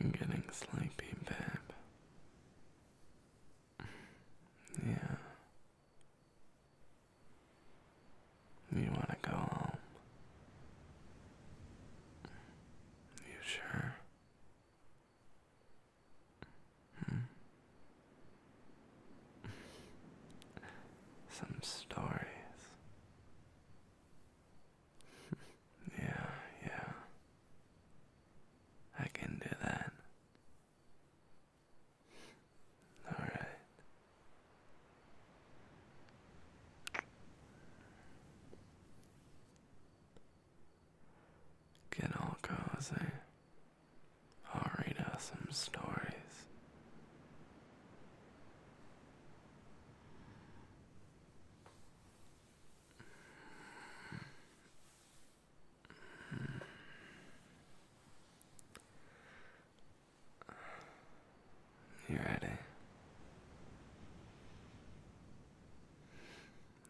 You're getting sleepy, babe. yeah. You want to go home? You sure? Hmm. Some stories. yeah, yeah. I can do that. All right. Get all cozy. I'll read us some stories. You ready?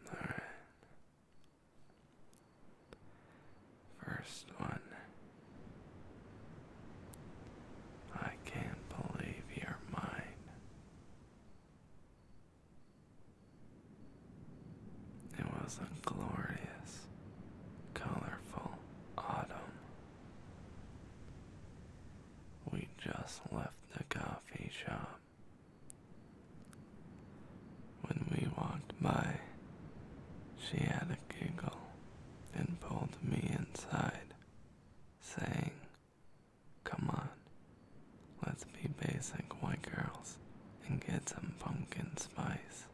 All right. First one. I can't believe you're mine. It was a glorious, colorful autumn. We just left the coffee shop when we walked by, she had a giggle and pulled me inside, saying, Come on, let's be basic white girls and get some pumpkin spice.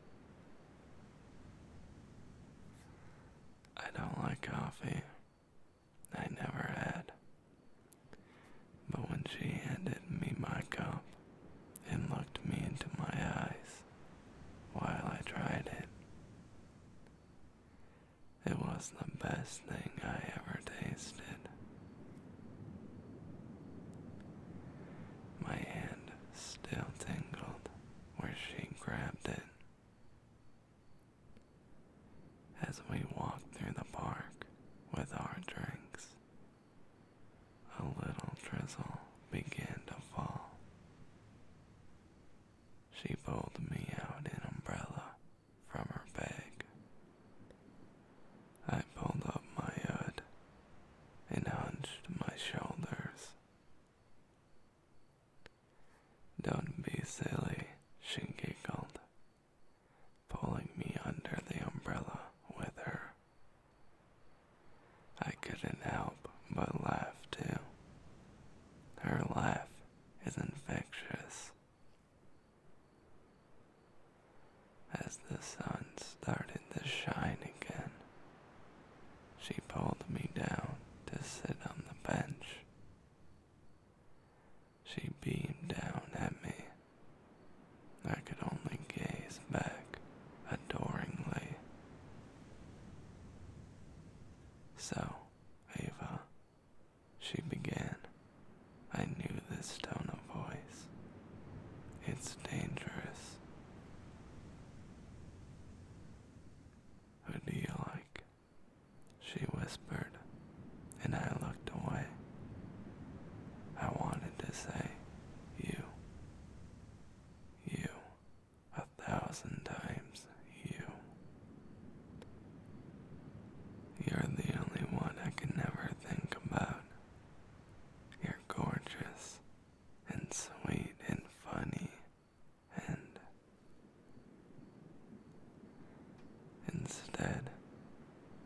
I don't like coffee. I never had. But when she handed me my cup and looked me into my eyes while I tried it, it was the best thing I ever tasted. My hand still tingled where she grabbed it. As we walked through the park with our drinks, a little drizzle began to fall. She pulled me out an umbrella from her bag. I pulled up my hood and hunched my shoulders. Don't be silly, she giggled pulling me under the umbrella with her. I couldn't help but laugh too. Her laugh is infectious. As the sun started to shine again, she pulled me down to sit on the bench. She beamed down at me I could only gaze back adoringly. So, Ava, she began. I knew this tone of voice. It's dangerous. Who do you like? She whispered, and I looked away. I wanted to say, You, you, a thousand times you. You're the only one I can never think about. You're gorgeous and sweet and funny and. Instead,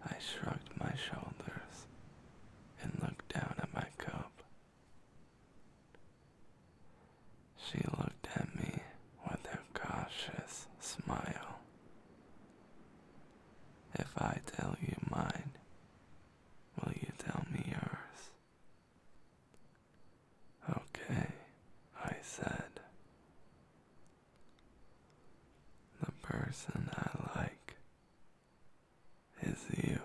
I shrugged my shoulders and looked down at my cup. She looked at me with a cautious smile. If I tell you mine, will you tell me yours? Okay, I said. The person I like is you.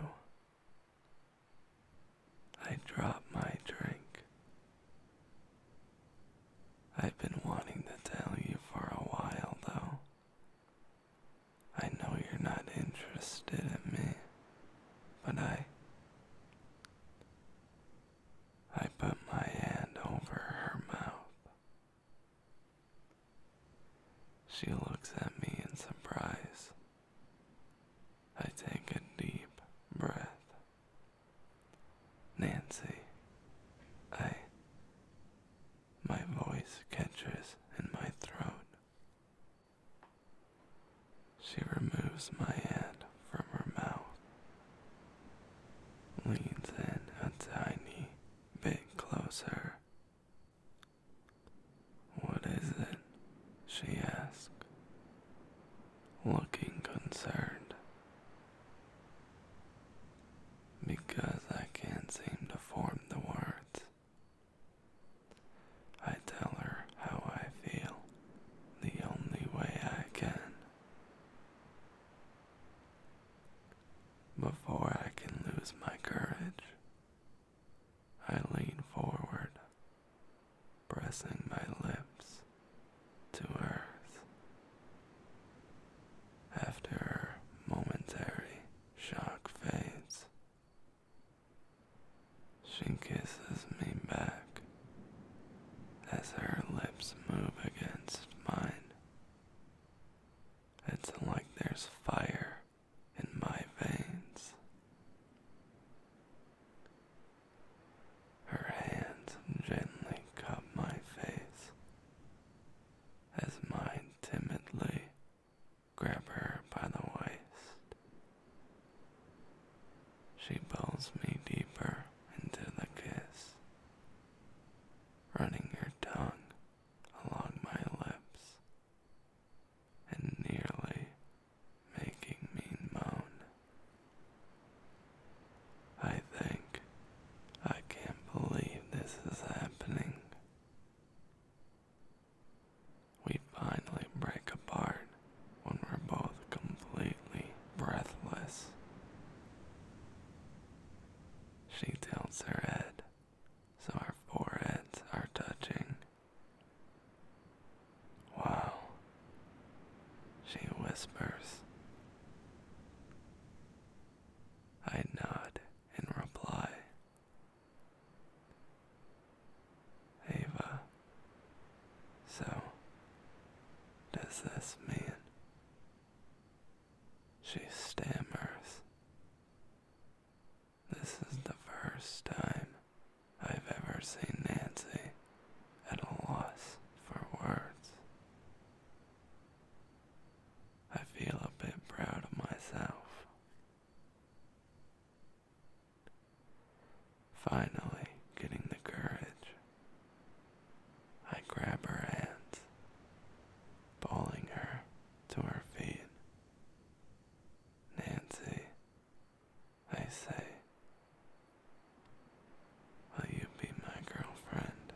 I drop my drink. I've been wanting to tell you for a while, though. I know you're not interested in me, but I. I put my hand over her mouth she looks at me in surprise. I take a deep breath. Nancy, I. My voice catches in my throat. She removes my hand from her mouth, leans in a tiny bit closer. What is it? she asked, looking concerned. Because I can't seem to form the words. I tell her how I feel the only way I can. Before I can lose my courage, I lean forward, pressing my lips to earth. After her momentary shock fades, she kisses me back as her lips move against mine. It's like there's fire in my veins. Her hands gently cup my face as mine timidly grab her by the waist. She pulls me deeper into the kiss running your tongue along my lips and nearly making me moan. I think I can't believe this is happening. We finally break apart when we're both completely breathless. She tilts her head so our foreheads are touching. Wow, she whispers. I nod in reply. Ava, so does this man. She stammers. This is the first time I've ever seen Nancy at a loss for words. I feel a bit proud of myself. Finally, getting the courage I grab her hands, balling her to her feet. Nancy, I say, will you be my girlfriend?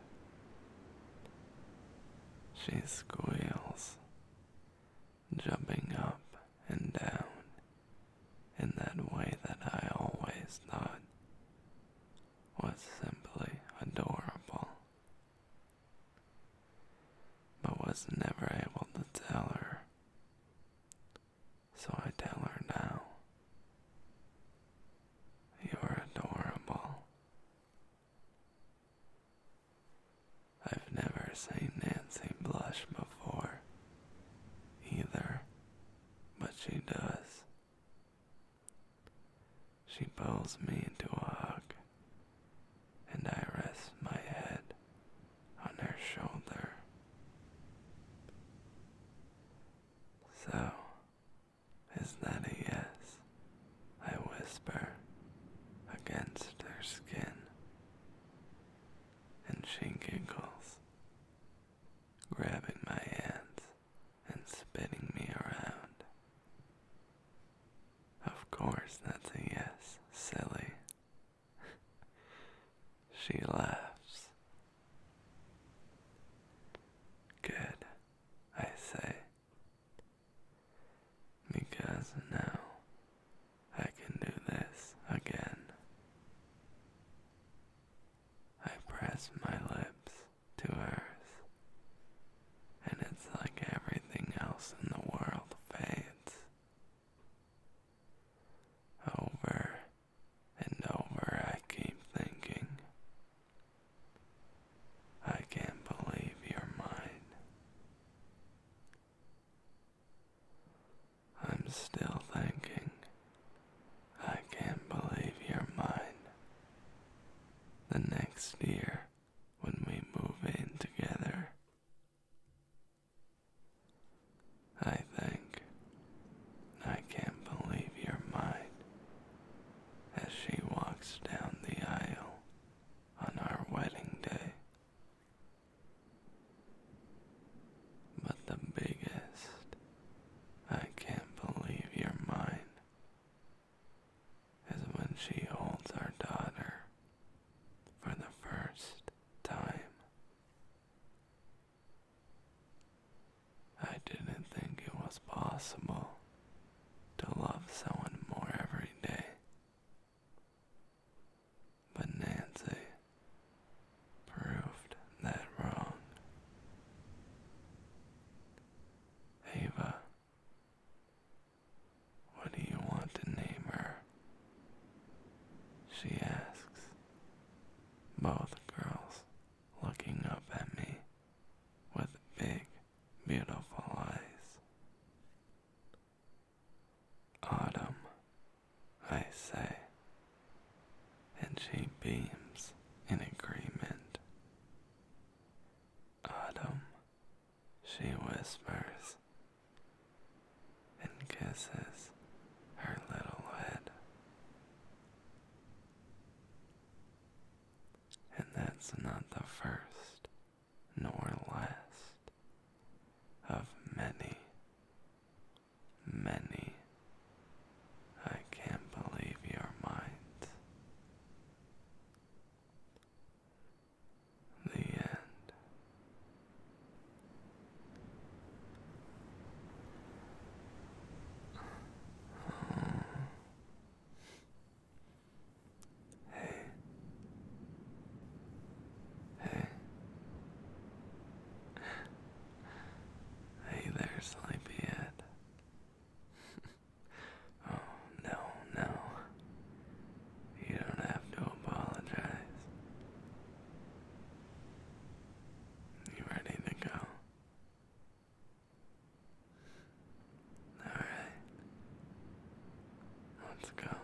She squeals, jumping up and down in that way that I always thought was simply adorable. But was never able to tell her. So I tell her now. You're adorable. I've never seen Nancy blush before, either, but she does. She pulls me into a hug, and I rest my head on her shoulder. So, is that a yes? I whisper against her skin, and she giggles, grabbing my hands and spinning me around. Of course, that's a yes, silly. she laughs. Good, I say. Because now I can do this again. I press my lips to hers, and it's like everything else in the world fades. Over and over, I keep thinking, I can't believe you're mine. I'm still thinking. I can't believe you're mine. The next year, when we move in together, I think. I can't believe you're mine. As she walks down the aisle on our wedding day. But the biggest, I can't believe you're mine, is when she holds our daughter for the first time. I didn't think it was possible to love someone more every day. But Nancy proved that wrong. Ava, what do you want to name her? She asks, both girls looking up at me with big, beautiful eyes. Autumn I say, and she beams in agreement. Autumn, she whispers and kisses her little head. And that's not the first nor last of many many. I can't believe your mind. The end. Hey. Hey. Hey there, sleepyhead. oh, no, no. You don't have to apologize. You ready to go? Alright. Let's go.